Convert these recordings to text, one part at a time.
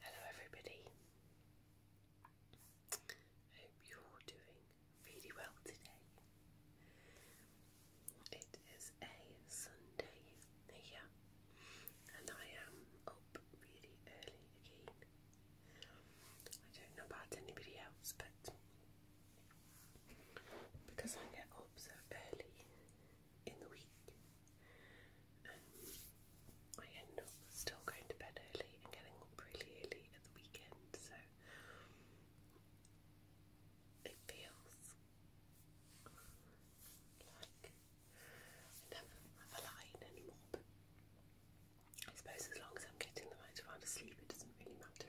Hello, everybody. I hope you're doing really well today. It is a Sunday here, and I am up really early again. I don't know about anybody else, but because I get up so early, in the week. I end up still going to bed early and getting up really early at the weekend, so it feels like I never have a line anymore. But I suppose as long as I'm getting the right amount of sleep, it doesn't really matter.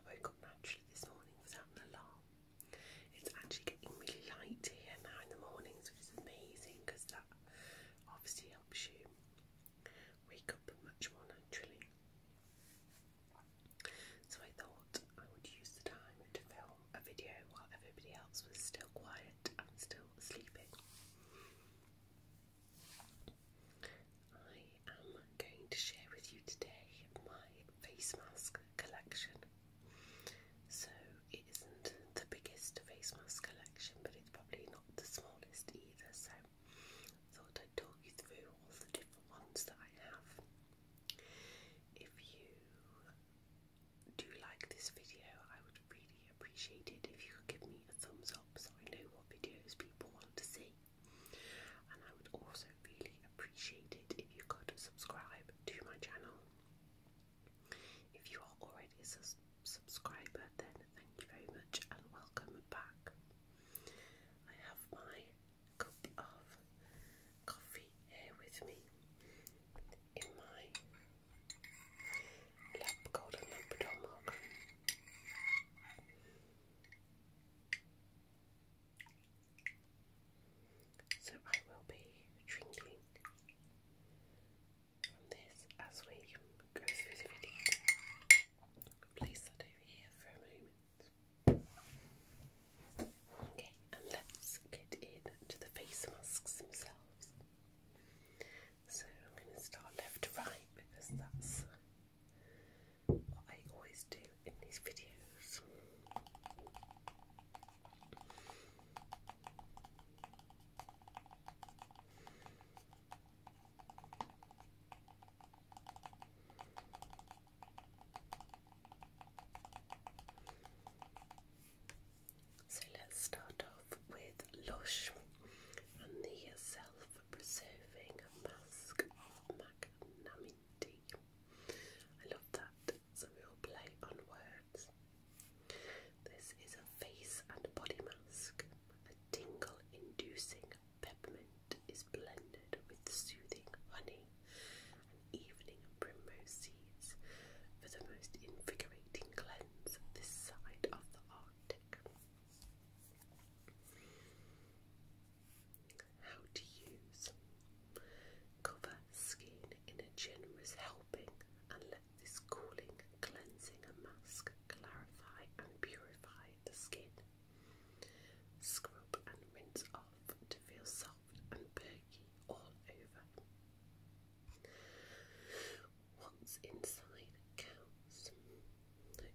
I woke up naturally this morning without an alarm, it's actually getting really light here now in the mornings, which is amazing because that obviously helps you wake up much more naturally. So I thought I would use the time to film a video while everybody else was still quiet and still sleeping. I am going to share with you today my face mask collection. So it isn't the biggest face mask collection, but it's probably not the smallest either. So I thought I'd talk you through all the different ones that I have. If you do like this video, I would really appreciate it if you could give me a thumbs up so I know what videos people want to see. And I would also really appreciate it if you could subscribe to my channel. If you are already a subscriber, then thank you very much and welcome back. I have my cup of coffee here with me in my lab golden Labrador mug so I will be drinking from this as we go through the video. Place that over here for a moment. Okay, and let's get into the face masks themselves. So I'm going to start left to right because that's what I always do in these videos. So let's start off with Lush and the self preserving mask of I love that it's a real play on words. This is a face and body mask. A tingle-inducing peppermint is blended with soothing honey and evening primrose seeds for the most invigorating cleanse this side of the Arctic. How to use. Cover skin in a generous helping, and let this cooling, cleansing, mask clarify and purify the skin. Scrub and rinse off to feel soft and perky all over. What's inside counts.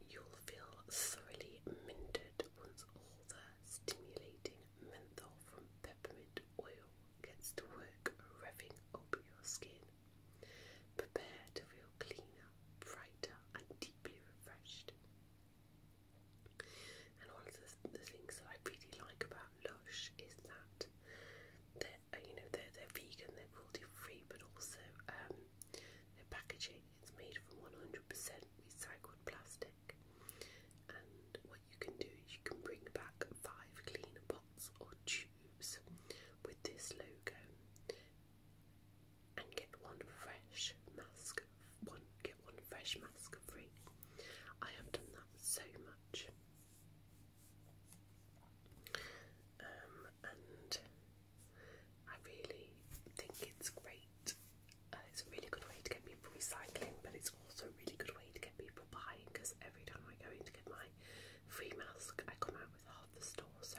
You'll feel thoroughly minted once all the stimulating menthol from peppermint oil gets to work revving up your skin. Prepare to feel cleaner, brighter, and deeply refreshed. And one of the, things that I really like about Lush is that they're, uh, you know, they're, they're vegan, they're cruelty free, but also um, their packaging is made from 100% recycled plastic you can do is you can bring back five clean pots or tubes with this logo and get one fresh mask one get one fresh mask free. I have done that so much. Um, and I really think it's great. Uh, it's a really good way to get people recycling, but it's also a really good way to get people because every time I go in to get my free mask, I come out with half the store. So.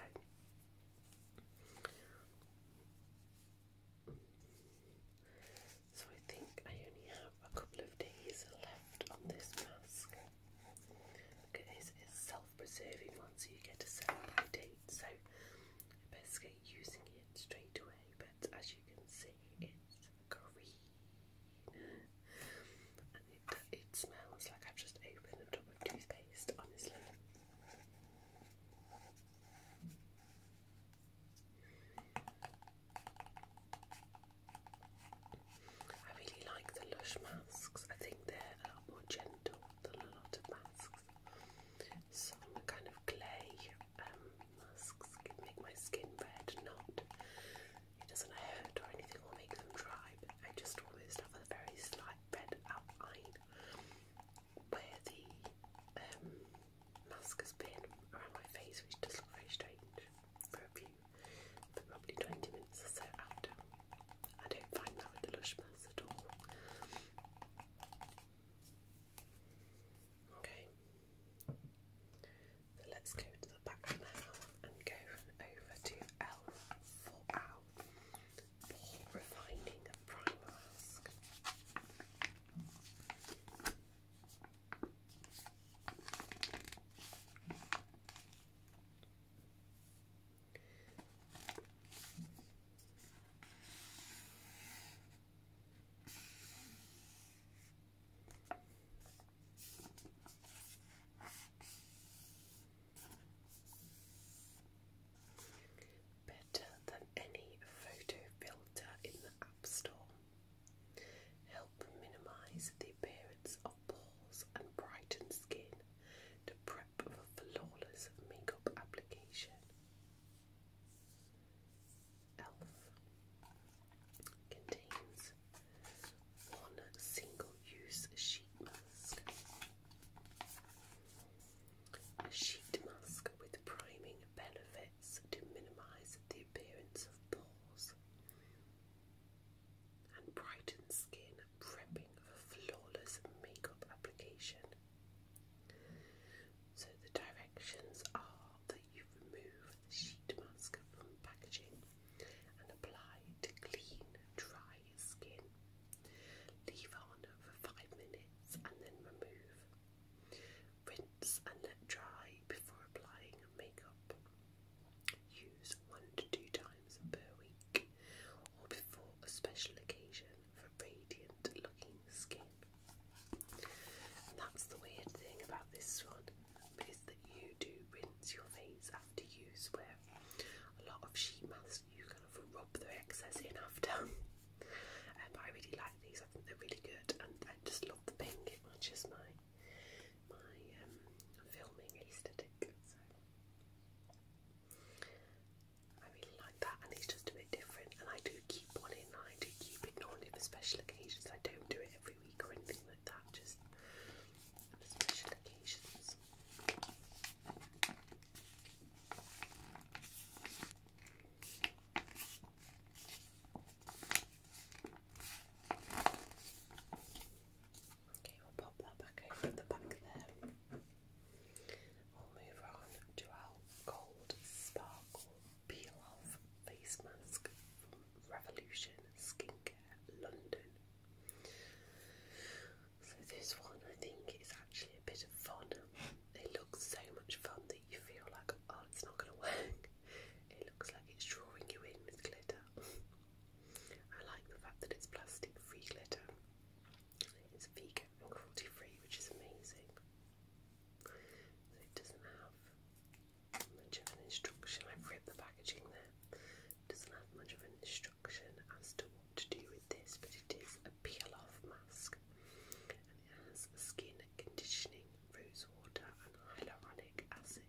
So I think I only have a couple of days left on this mask. It is a self-preserving one, so you get a 7 by date. So I best get using it straight away. But as you can see, it's green it, smells like I've just opened a tub of toothpaste, honestly. I really like the Lush masks. I think they're a lot more gentle than a lot of masks. Some kind of clay um, masks can make my skin red, not it doesn't hurt or anything or make them dry, I just always have a very slight red outline where the um, mask has been around my face, which does look very strange for a few, for probably 20 minutes or so after. I don't find that with the Lush mask at all. Okay, so let's go to the back now and go over to L for Owl refining a prime mask. Better than any photo filter in the App Store. Help minimize the appearance of pores and brighten skin to prep for flawless makeup application. ELF contains on single use sheet mask. A sheet mask with priming benefits to minimize the appearance of pores and brighten skin, prepping for flawless makeup application. So the directions are that you remove sheet mask from packaging and apply to clean, dry skin. Leave on for 5 minutes and then remove. Rinse and let dry before applying makeup. Use 1 to 2 times per week or before a special occasion for radiant looking skin. that's the weird thing about this one is that you do rinse your face after use, where a lot of sheet masks you kind of rub the excess in after. um, but I really like these, I think they're really good, and I just love the pink, it matches my, my um, filming aesthetic. So. I really like that, and it's just a bit different. And I do keep one in, I do keep it normally for special occasions. I don't do it every week or anything like that, just special occasions. Okay, we'll pop that back over the back there. We'll move on to our gold sparkle peel off face mask Revolution Skincare London. So this one I think is actually a bit of fun. It looks so much fun that you feel like, oh, it's not going to work. It looks like it's drawing you in with glitter. I like the fact that it's plastic-free glitter. It's vegan and cruelty-free, which is amazing. So it doesn't have much of an instruction. I've ripped the packaging there. Doesn't have much of an instruction as to what to do with this, but it is a peel-off mask, and it has skin conditioning, rose water, and hyaluronic acid.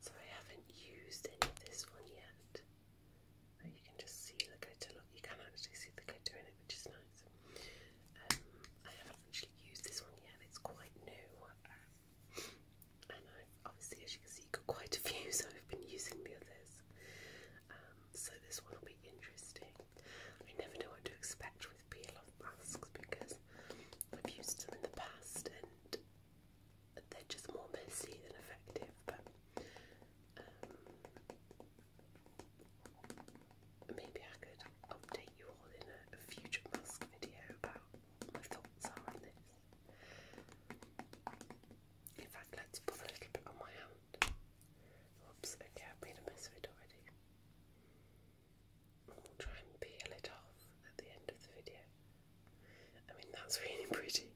So I haven't used this one yet. you can just see the glitter. Look, you can actually see the glitter in it, which is nice. Um, I haven't actually used this one yet. It's quite new. Um, and I obviously, as you can see, got quite a few, so I've been using the others. Um, so this one will be interesting. I never know what to expect peel-off masks because I've used them in the past and they're just more messy than effective. But um, maybe I could update you all in a, future mask video about what my thoughts are on this. In fact, let's put a little bit on my hand. Oops, okay, I've made a mess of it already. I'll try and peel it off at the end of the video. I mean, that's really pretty.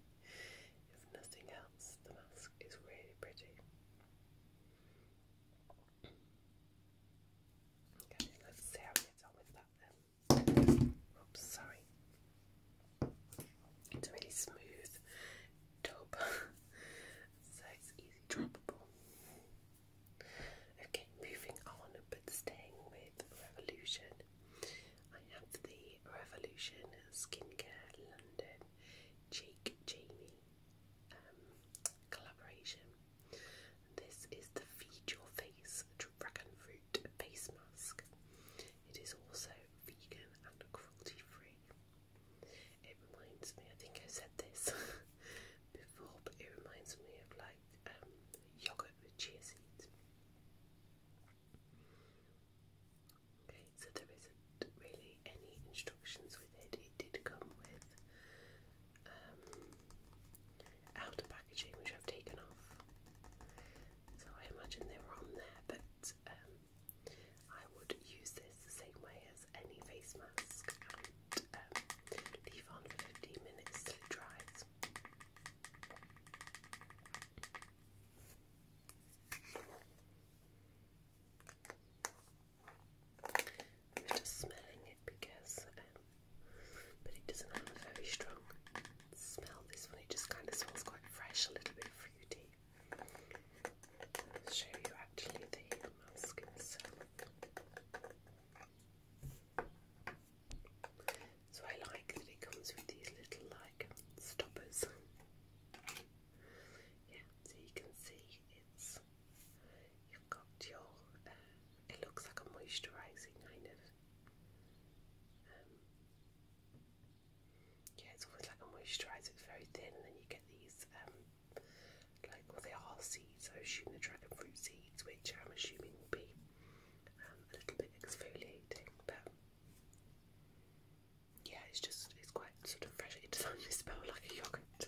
If nothing else, the mask is really pretty. Okay, let's see how we get on with that then. sorry. It's really smooth tub, so it's easy droppable. Okay, moving on, but staying with Revolution. I have the Revolution Skincare London Cheek Jamie um, collaboration. This is the Feed Your Face Dragon Fruit Face Mask. It is also vegan and cruelty free. It reminds me, I think I said this, before, but it reminds me of like um, yogurt with chia seeds. Okay, so there isn't really any instructions with it. It did come with um, outer packaging, which I've taken off. So I imagine they were on there, but um, I would use this the same way as any face mask Leave on for 15 minutes till it I'm just smelling it because, um, but it doesn't have a very strong smell. This one, it just kind of smells quite fresh, a little bit fruity. show you actually the mask itself. So I like that it comes with these little like stoppers. Yeah, so you can see it's you've got your. Uh, it looks like a moisturising kind of. Um, yeah, it's almost like a moisturiser. It's very thin, and then you get these um, like well they are seeds, I assume the dragon fruit seeds, which I'm assuming will be um, a little bit exfoliating, but yeah, it's just it's quite sort of fresh. It doesn't smell like yogurt.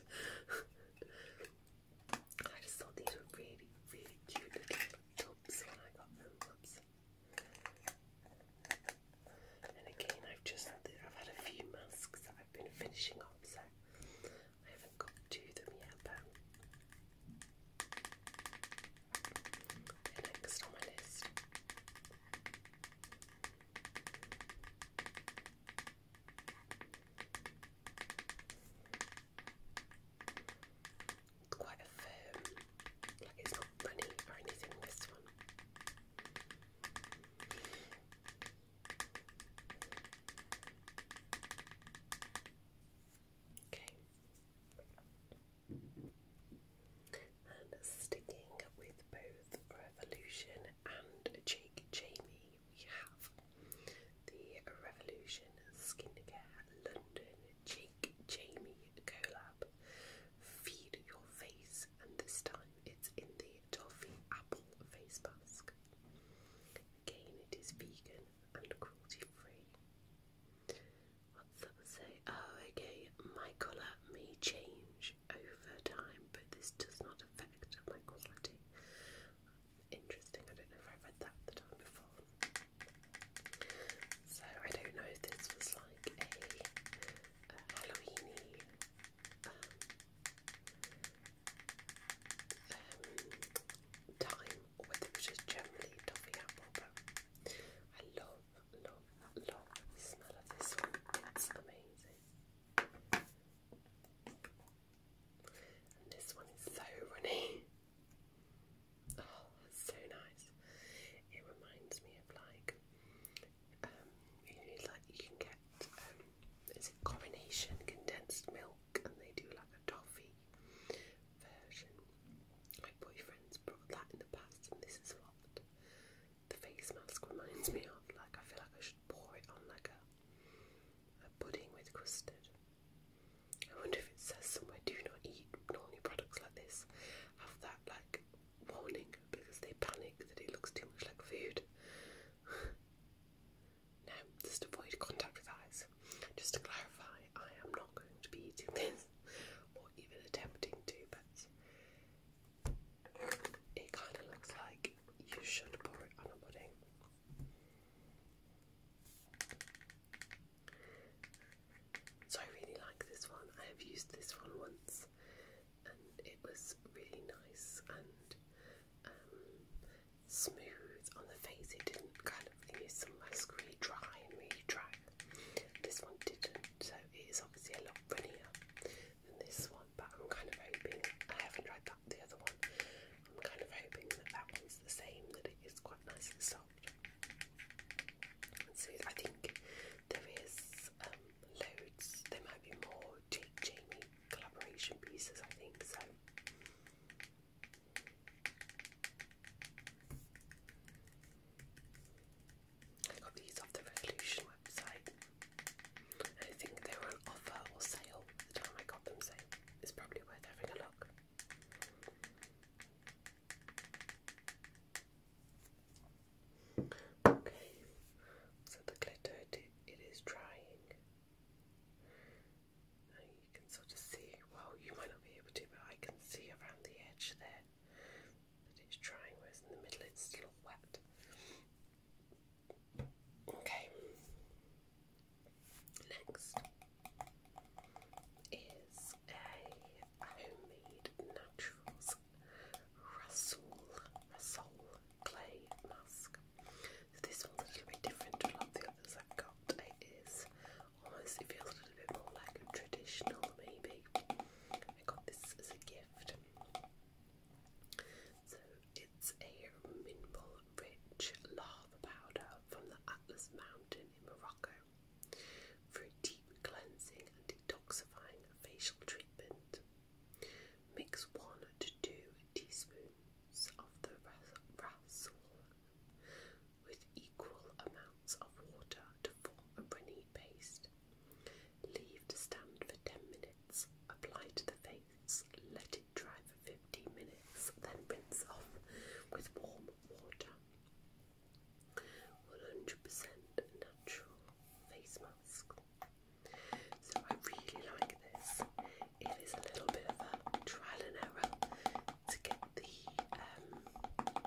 I just thought these were really, really cute little tubs when I got them. And again, I've just I've had a few masks that I've been finishing up, so I haven't got to them yet, but next on my list. quite firm, like it's not runny or anything, this one. Okay. And sticking with both Revolution and Jake Jamie, we have the Revolution Skincare London Jake Jamie collab. Feed your face, and this time it's in the toffee apple face mask. Again, it is vegan and cruelty free. What's that say? Oh, okay. My colour may change over time, but this does not affect my quality. Interesting. I don't know if I read that the time before. So I don't know if this was like a, Halloweeny um, time or whether generally toffee apple. But I love, love, love the smell of this one. It's amazing. this one is so runny. Oh, so nice. It reminds me of like um, like you can get um, is it coronation condensed milk and they do like a toffee version. My boyfriend's brought that in the past, and this is what the face mask reminds me of. Like, I feel like I should pour it on like a, a pudding with custard. I wonder if it says somewhere, do not eat normally products like this. Have that like warning because they panic that it looks too much like food. No, just avoid contact with eyes. Just to clarify, I am not going to be eating this or even attempting to, but it kind of looks like you should pour it on a pudding. So I really like this one. I have used this one once and it was really nice and smooth on the face. It didn't kind of you know, some masks really dry and really dry. This one didn't, so it is obviously a lot runnier than this one. But I'm kind of hoping I haven't tried that the other one. I'm kind of hoping that that one's the same. That it is quite nice and soft. so I think there is um, loads. There might be more Jake Jamie collaboration pieces. I think so. I got these off the Revolution website. I think they were on offer or sale at the time I got them, so it's probably worth having a look. Okay, so the glitter it is drying you can sort of see, well, you might not be able to, but I can see around the edge there that it's drying, whereas in the middle it's still wet. Okay, next is a homemade naturals Russell, Russell clay mask. This one's a little bit different to the others I've got. It is almost, it feels a little bit more like a traditional, maybe. I got this as a gift. So it's a mineral rich lava powder from the Atlas Mountain in Morocco for a deep cleansing and detoxifying facial treatment. Mix one to two teaspoons of the ras with equal amounts of water to form a runny paste. Leave to stand for 10 minutes, apply to the face, let it dry for 15 minutes, then rinse off with warm water. 100% natural face mask. So I really like this. It is a little bit of a trial and error to get the um,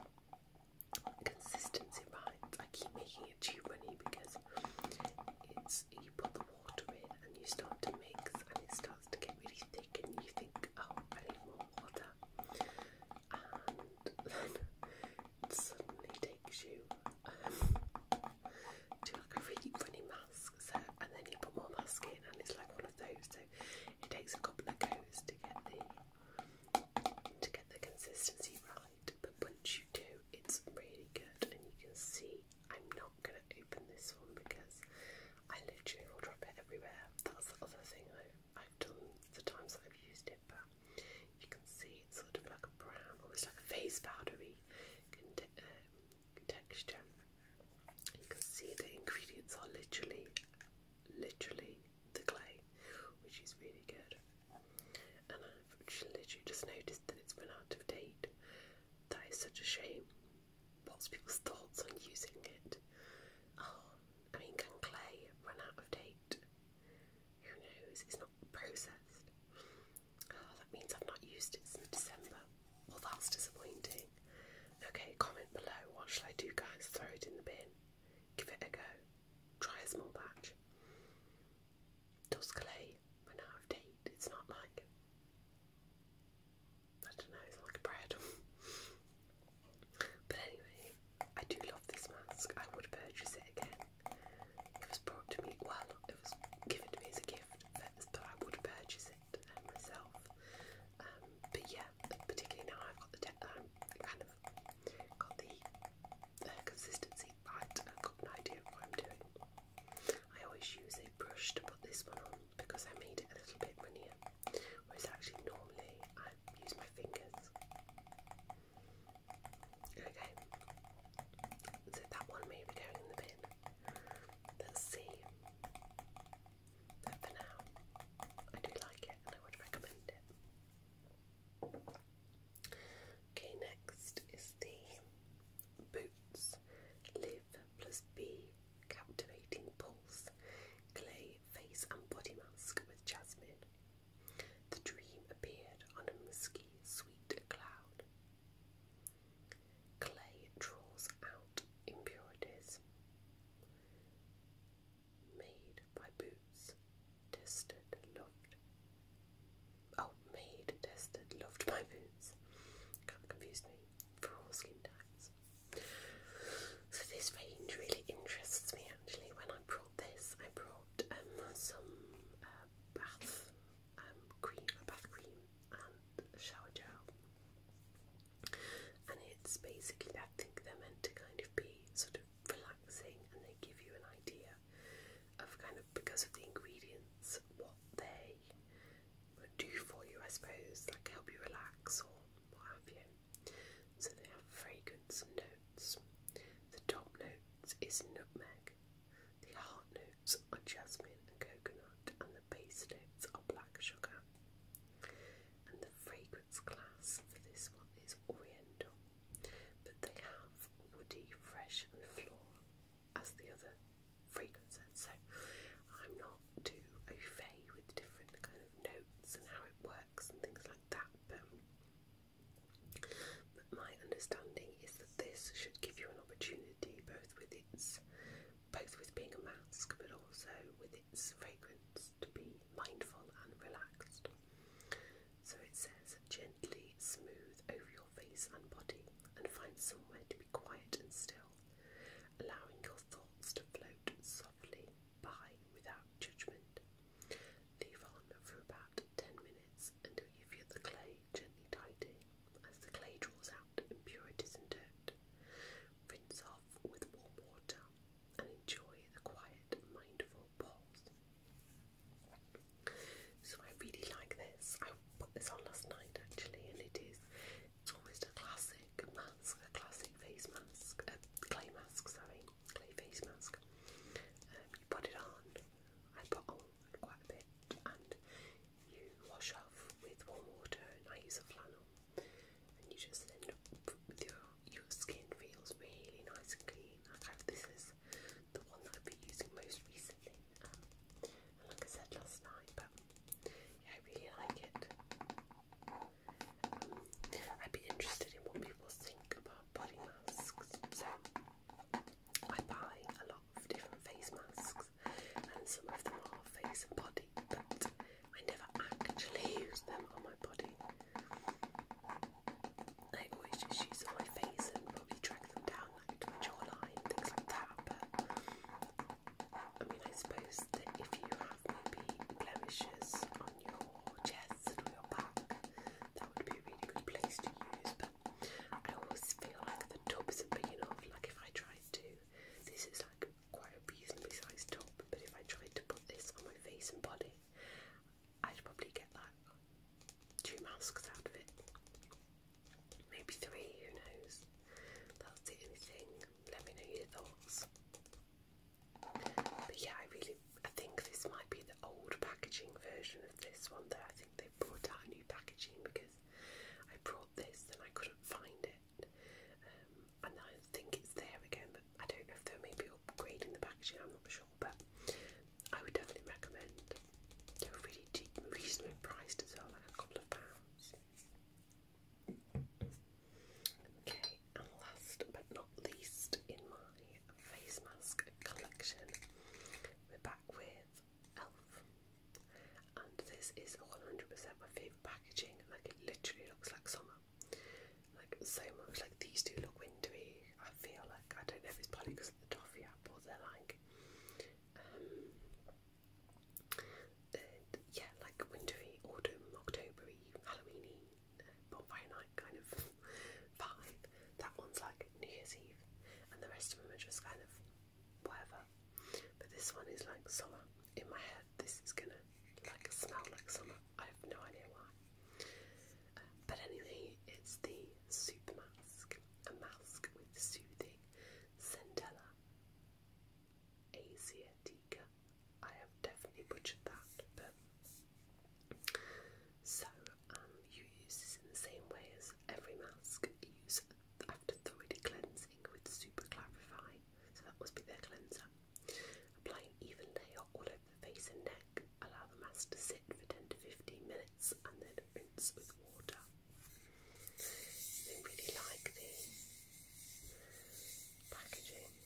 consistency right. I keep making it too runny because it's you put the water in and you start to mix and it starts to get really thick and you think, oh, I need more water, and then it suddenly takes you um, to like a really funny mask. So and then you put more mask in and it's like one of those so it takes a couple of goes to get the to get the consistency right but once you do it's really good and you can see I'm not gonna open this one because I literally will drop it everywhere. That's the other thing I, have done the times that I've used it but you can see it's sort of like a brown, almost like a face powdery um, texture. You can see the ingredients are literally, literally the clay, which is really good. And I've literally just noticed that it's been out of date. That is such a shame. What's people's thoughts on using it? Oh, I mean, can clay run out of date? Who knows? It's not processed. Oh, that means I've not used it since December. Well, that's disappointing. Okay, comment below. What should I do, guys? Throw it in the bin. Give it a go. Try a small batch. Tuscalay, we're out of date. It's not like I don't know, it's like bread. but anyway, I do love this mask. I would purchase it again. It was brought to me well, it was given to me as a gift, but I would purchase it um, myself. Um, but yeah, particularly now I've got the um, kind of got the consistency right. I've got an idea of what I'm doing. I always use a brush to put this one on because I made it a little bit runnier. Whereas actually normally I use my fingers. Okay. So that one may be going in the bin. But for now, I do like it and I would recommend it. Okay, next is the Boots Live Plus B Captivating Pulse Clay Face and Body Mask with Jasmine. The dream appeared on a musky, sweet cloud. Clay draws out impurities. Made by Boots. Tested, loved. Oh, made, tested, loved by Boots. Kind of confused me for all skin types. So this range really interests me actually. When I brought this, I brought um, some uh, bath um, cream, a bath cream and shower gel and it's basically I they're meant to kind of be sort of relaxing and they give you an idea of kind of because of the ingredients what they do for you I suppose like help you relax or what have you so they have fragrance notes the top notes is nutmeg the heart notes are jasmine and coconut and the base notes are black sugar and the fragrance class for this one is oriental, but they have woody, fresh, and floral as the other fragrances. So I'm not too au fait with different kind of notes and how it works and things like that, but my understanding is that this should give you an opportunity both with its both with being a mask but also with its fragrance to be mindful and relaxed. So it says, gently smooth over your face and body and find somewhere to be quiet and still, allowing your thoughts to float softly by without judgment. Leave on for about 10 minutes until you feel the clay gently tidy as the clay draws out impurities and dirt rinse off with warm water, and enjoy the quiet, mindful pause. So I really like this. I put this on last night actually, and it is it's almost a classic mask, a classic face mask, a clay mask, sorry, clay face mask. Um, you put it on. I put on quite a bit, and you wash off with warm water, and I use a flannel and you just end up with your, your skin feels really nice and clean. I have this is the one that I've been using most recently, um, and like I said last night, but yeah, I really like it. Um, I'd be interested in what people think about body masks, so I buy a lot of different face masks, and some of them are face and body, but I never actually use them on my body. I always just use them on my face and probably drag them down like my jawline, things like that. But I mean, I suppose that if you have maybe blemishes on your chest or your back, that would be a really good place to use. But I always feel like the tubs are big enough. Like if I tried to, this is like quite a reasonably sized top, but if I tried to put this on my face and body, I'd probably get like two masks out of it. Maybe three, who knows? That's the only thing. Let me know your thoughts. But yeah, I really I think this might be the old packaging version of this one though. I think they brought out a new packaging because I brought this and I couldn't find it um, and I think it's there again, but I don't know if they're maybe upgrading the packaging, I'm not sure, but I would definitely recommend. They're really cheap reasonably priced as well, like a couple of pounds. Okay, and last but not least in my face mask collection, we're back with ELF. And this is 100 creative packaging. Like it literally looks like summer. Like so much. Like these do look windowy. I feel like I don't know if it's probably because of the toffee app or they're like, um, uh, yeah, like windowy, autumn, Octobery, Halloweeny, uh, bonfire night kind of vibe. That one's like New Year's Eve, and the rest of them are just kind of whatever. But this one is like summer. In my head, this is gonna like smell like summer. I have no idea why. but anyway, it's the Super Mask, a mask with soothing centella asiatica. I have definitely butchered that, but so um, you use this in the same way as every mask. use after thoroughly cleansing with Super Clarify, so that must be their cleanser. Applying even layer all over the face and neck. Allow the mask to sit for 10 to 15 minutes and then rinse with water. I really like the packaging.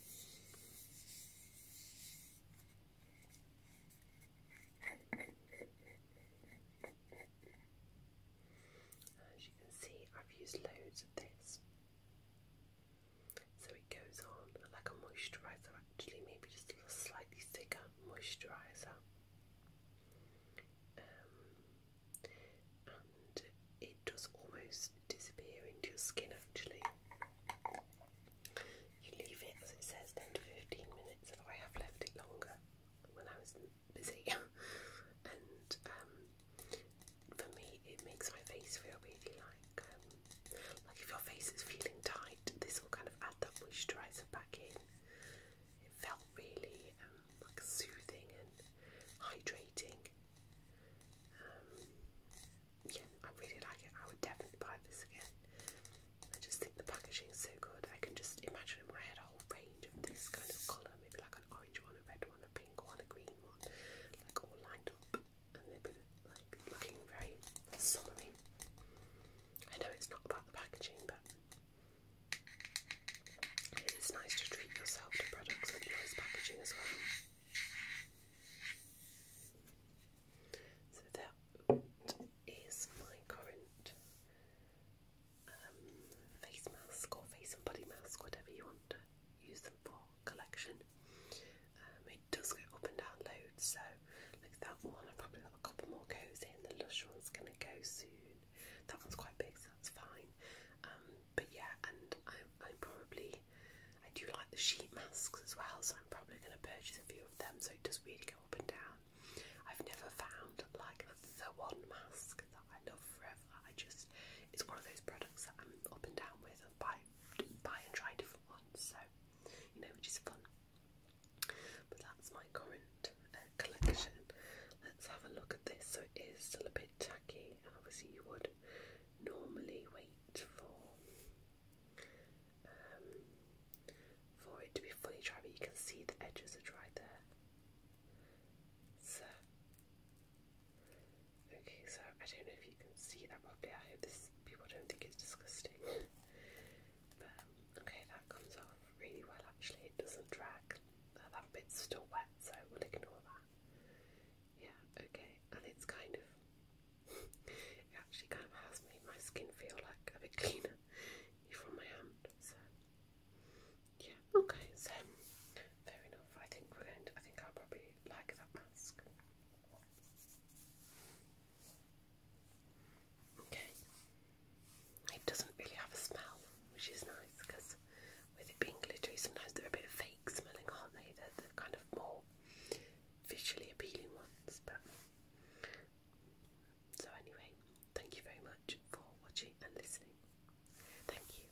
As you can see, I've used loads of this. So it goes on like a moisturiser, actually, maybe just a slightly thicker moisturiser. Um, and it does almost disappear into your skin, actually. You leave it as it says 10 15 minutes, I have left it longer when I was busy. and um, for me, it makes my face feel really like, um, like if your face is feeling tight, this will kind of add that moisturiser back in. It felt really um, like soothing and hydrating. Um, yeah, I really like it. I would definitely buy this again. I just think the packaging is so good. I can just imagine in my head a whole range of this kind of colour, maybe like an orange one, a red one, a pink pink one, green like all lined up, and they've looking very summery. I know it's not about the packaging, but it is nice to treat yourself to products with nice packaging as well. So that is my current um, face mask or face and body mask, whatever you want to use them for collection. Um, it does go up and down loads, so like that one, I've probably got a couple more goes in. The Lush one's going to go soon. That one's quite big, so that's fine. Um, but yeah, and I'm probably, I do like the sheet masks as well, so I'm probably going to purchase a few of them, so it does really go up and down. I've never found like the one mask that I love forever. I just it's one of those products that I'm up and down with and buy, buy and try different ones, so you know, which is fun. But that's my current uh, collection. Let's have a look at this. So it is still a bit tacky, and obviously you would normally wait for um, for it to be fully dry, but you can see the edges are dry there. So Okay, so I don't know if you can see that properly. I hope this people don't think it's disgusting. but um, okay, that comes off really well actually. It doesn't drag. that bit's still wet, so we'll ignore that. Yeah, okay, and it's kind of it actually kind of has made my skin feel like a bit cleaner from my hand. So yeah, okay, so fair enough. I think we're going to I think I'll probably like that mask. Okay, it doesn't really have a smell, which is nice because with it being glittery, sometimes they're a bit fake smelling, aren't they? They're the kind of more visually appealing ones. But so anyway, thank you very much for watching and listening. Thank you.